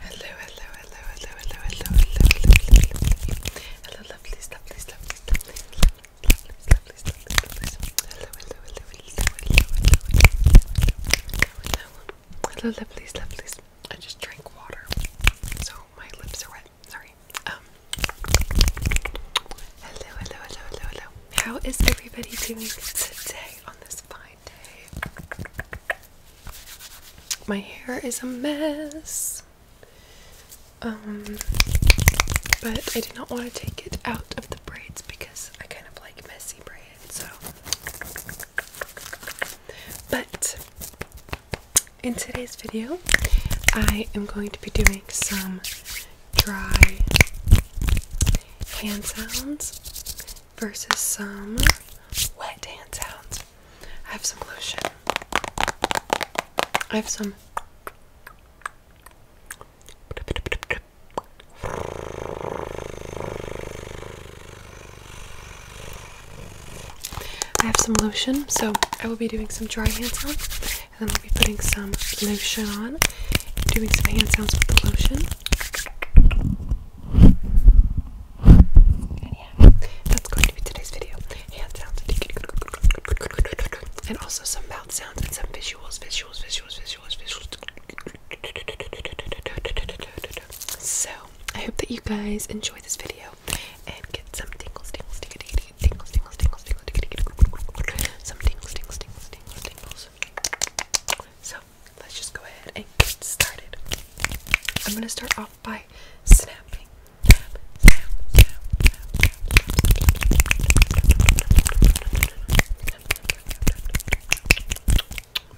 Hello, hello, hello, hello, hello, hello, hello, hello, hello, lovelies, lovelies, lovelies, lovelies, lovelies, lovelies, lovelies, lovelies, hello, hello, hello, hello, hello, hello, hello, hello, lovelies, lovelies. I just drank water, so my lips are wet. Sorry. Um. Hello, hello, hello, hello, hello. How is everybody doing today on this fine my hair is a mess. Um, but I do not want to take it out of the braids because I kind of like messy braids, so. But in today's video, I am going to be doing some dry hand sounds versus some wet hand sounds. I have some lotion. I have some I have some lotion, so I will be doing some dry hand sounds, and then I'll be putting some lotion on, doing some hand sounds with lotion. And yeah, that's going to be today's video. and also some mouth sounds and some visuals, visuals, visuals, visuals, visuals. So I hope that you guys enjoy this video and get some tingles, tingles, tingles, tingles, tingles, tingles, tingles, tingles, tingles, tingles. So let's just go ahead and get started. I'm gonna start off by snapping.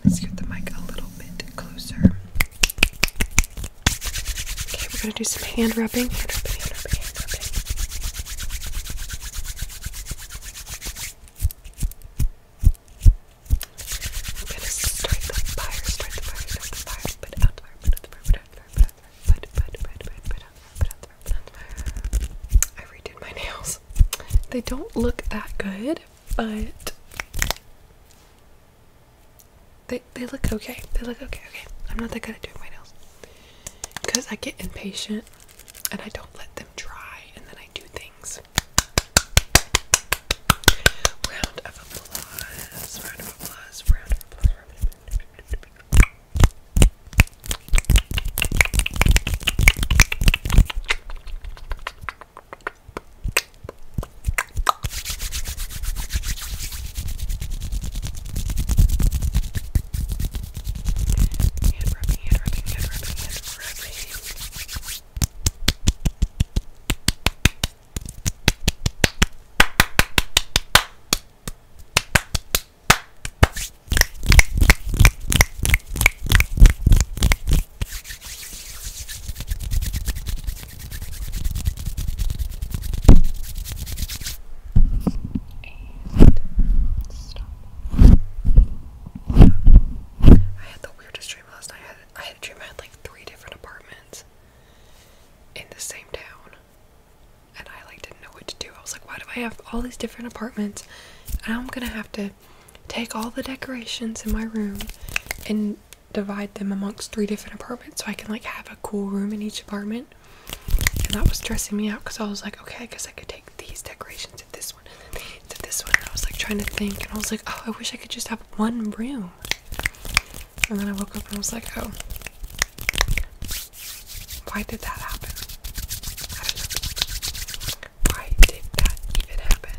Let's get the mic a little bit closer. Okay, we're gonna do some hand rubbing. I'm gonna start the fire, start the fire, start the fire, put I redid my nails. They don't look that good, but they they look okay. They look okay, okay. I'm not that good at doing my nails. Because I get impatient and I don't let them dry and then I do things applause. Round of applause. Round of applause. Round of applause. Round of applause. Hand rubbing, hand rubbing, hand rubbing, hand rubbing. And stop. I had the weirdest dream last night. I had, I had a dream I had like three different apartments in the same town, and I like didn't know what to do. I was like, why do I have all these different apartments? And I'm gonna have to take all the decorations in my room and divide them amongst three different apartments so I can like have a cool room in each apartment. And that was stressing me out because I was like, okay, I guess I could take these decorations at this this one to this one. And I was like trying to think, and I was like, oh, I wish I could just have one room. And then I woke up and I was like, oh, why did that happen? I don't know. Why did that even happen?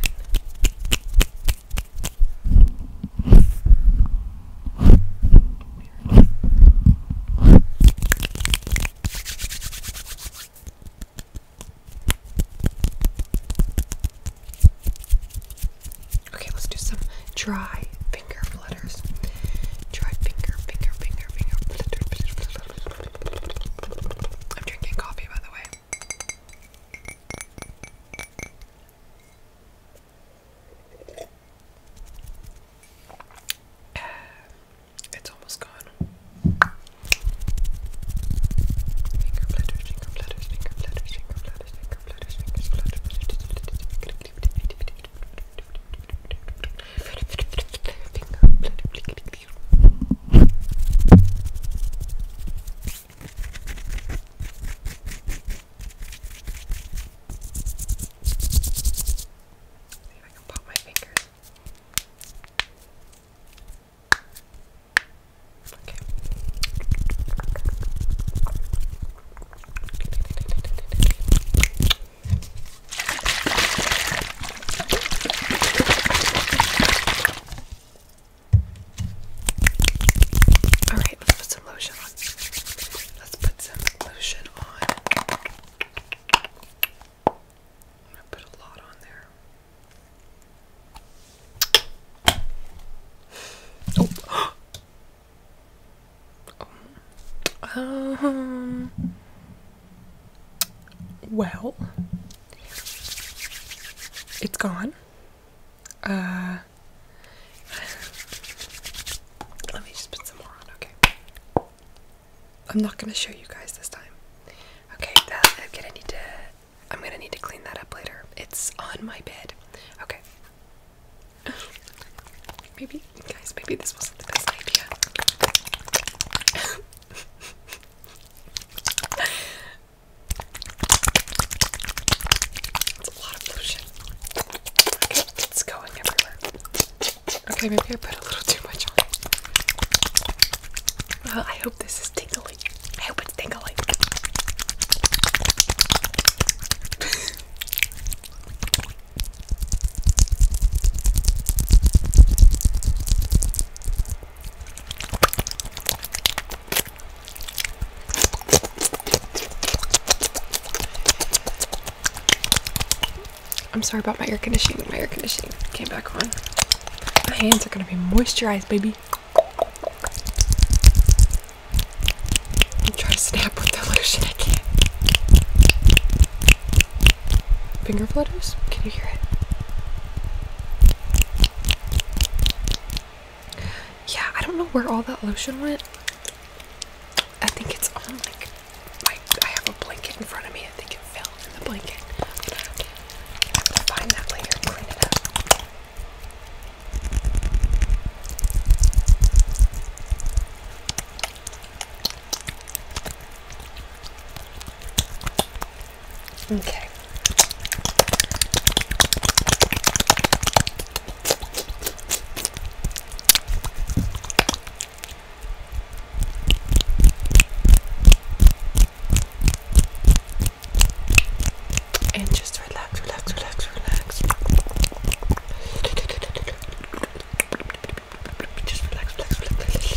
Okay, let's do some dry finger flutters. Dry finger, finger, finger, finger, flutter, I'm drinking coffee, by the way. It's almost gone. Finger flutters, finger flutters, finger flutters, finger flutters, finger flutters, finger flutters. See if I can pop my fingers Okay. All right, let's put some lotion on. Let's put some lotion on. I put a lot on there. Oh. Um. Well, it's gone. Uh. Let me just put some more on. Okay. I'm not gonna show you guys this time. Okay, that uh, I'm gonna need to I'm gonna need to clean that up later. It's on my bed. Okay. Maybe guys, maybe this wasn't the best idea. It's a lot of lotion. Okay, it's going everywhere. Okay, maybe I put a little too much on. Well, I hope this is tingling. I hope it's tingling. I'm sorry about my air conditioning. My air conditioning came back on. My hands are gonna be moisturized, baby. i to snap with the lotion. I Finger flutters? Can you hear it? Yeah, I don't know where all that lotion went. I think it's on like my, I have a blanket in front of me. I think it fell in the blanket. find that later clean it up. Okay. And just relax, relax, relax, relax. Just relax, relax, relax.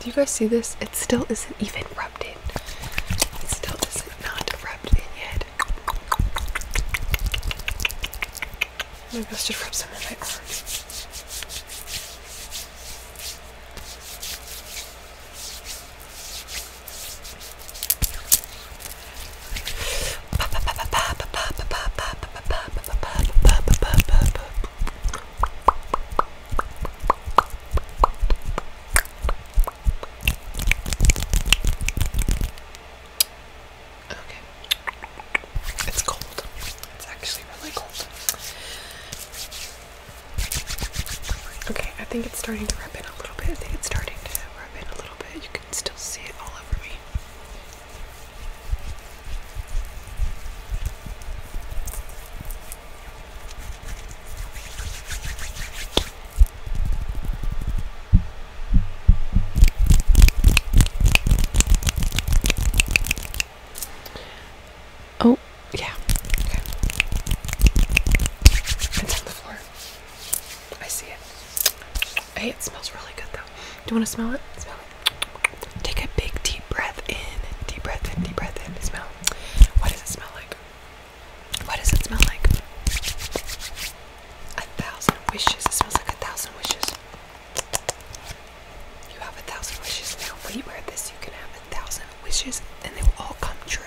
Do you guys see this? It still isn't even rubbed in. It still does not not rubbed in yet. Maybe must have rubbed some in my arms. Okay. It's cold. It's actually really cold. Okay, I think it's starting to rip in a little bit. I think it's starting to rub in a little bit. You can still see it all over me. Oh, yeah. Okay. It's on the floor. I see it. Hey, it smells really good though. Do you want to smell it? Smell it. Take a big deep breath in. Deep breath in. Deep breath in. Smell. What does it smell like? What does it smell like? A thousand wishes. It smells like a thousand wishes. You have a thousand wishes now. When you wear this, you can have a thousand wishes and they will all come true.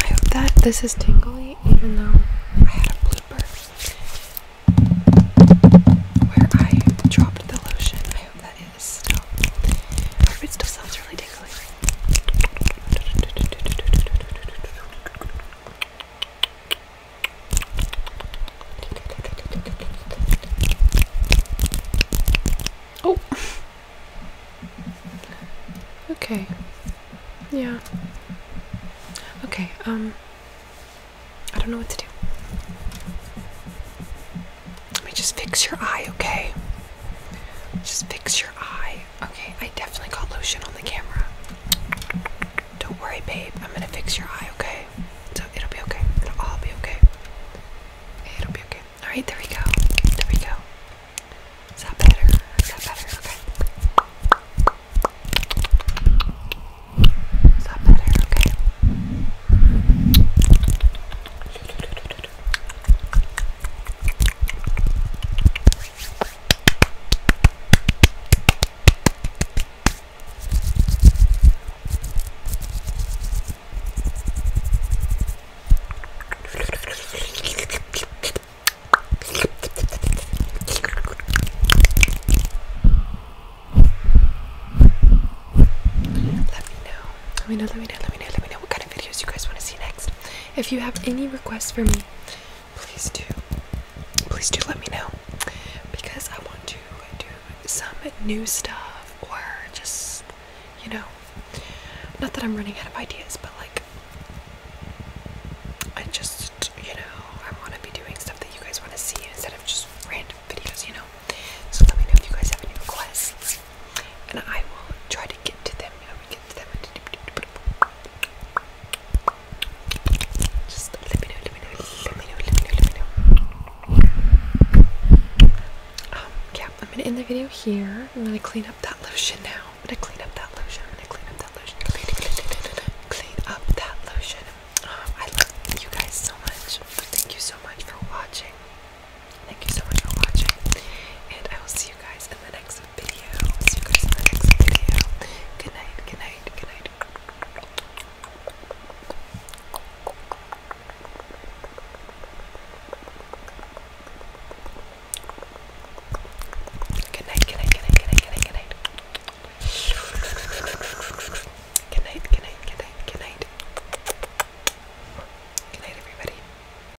I hope that this is tingly, even though I had a blooper where I dropped the lotion. I hope that it is still. it still sounds really tingly. Oh. Okay. Yeah. Okay, um I don't know what to do. Let me just fix your eye, okay? Just fix your eye okay. I definitely got lotion on the camera. Don't worry, babe. I'm gonna fix your eye, okay? So it'll be okay. It'll all be okay. It'll be okay. Alright, there we go. There we go. Is that better? Is that better? Okay. Is that better? Okay. Let me know. Let me know, let me know, let me know, let me know what kind of videos you guys want to see next. If you have any requests for me, please do. Please do let me know because I want to do some new stuff or just, you know, not that I'm running out of ideas, but like, I just, you know, I want to be doing stuff that you guys want to see instead of just random videos, you know. So let me know if you guys have any requests and I will try to get to them. You know, get to them just let me know, let me know, let me know, let me know, let me know. Um, yeah, I'm gonna end the video here. I'm gonna clean up that lotion now. I'm gonna clean up that lotion. I'm gonna clean up that lotion. Clean, clean, clean, clean, clean up that lotion. Um, I love you guys so much. Thank you so much for watching. Thank you so much for watching. And I will see you guys in the next video. I'll see you guys in the next video. Good night, good night, good night. Good night, good night, good night, good night, good night, good night. Good night, good night, good night, good night. Good night, everybody.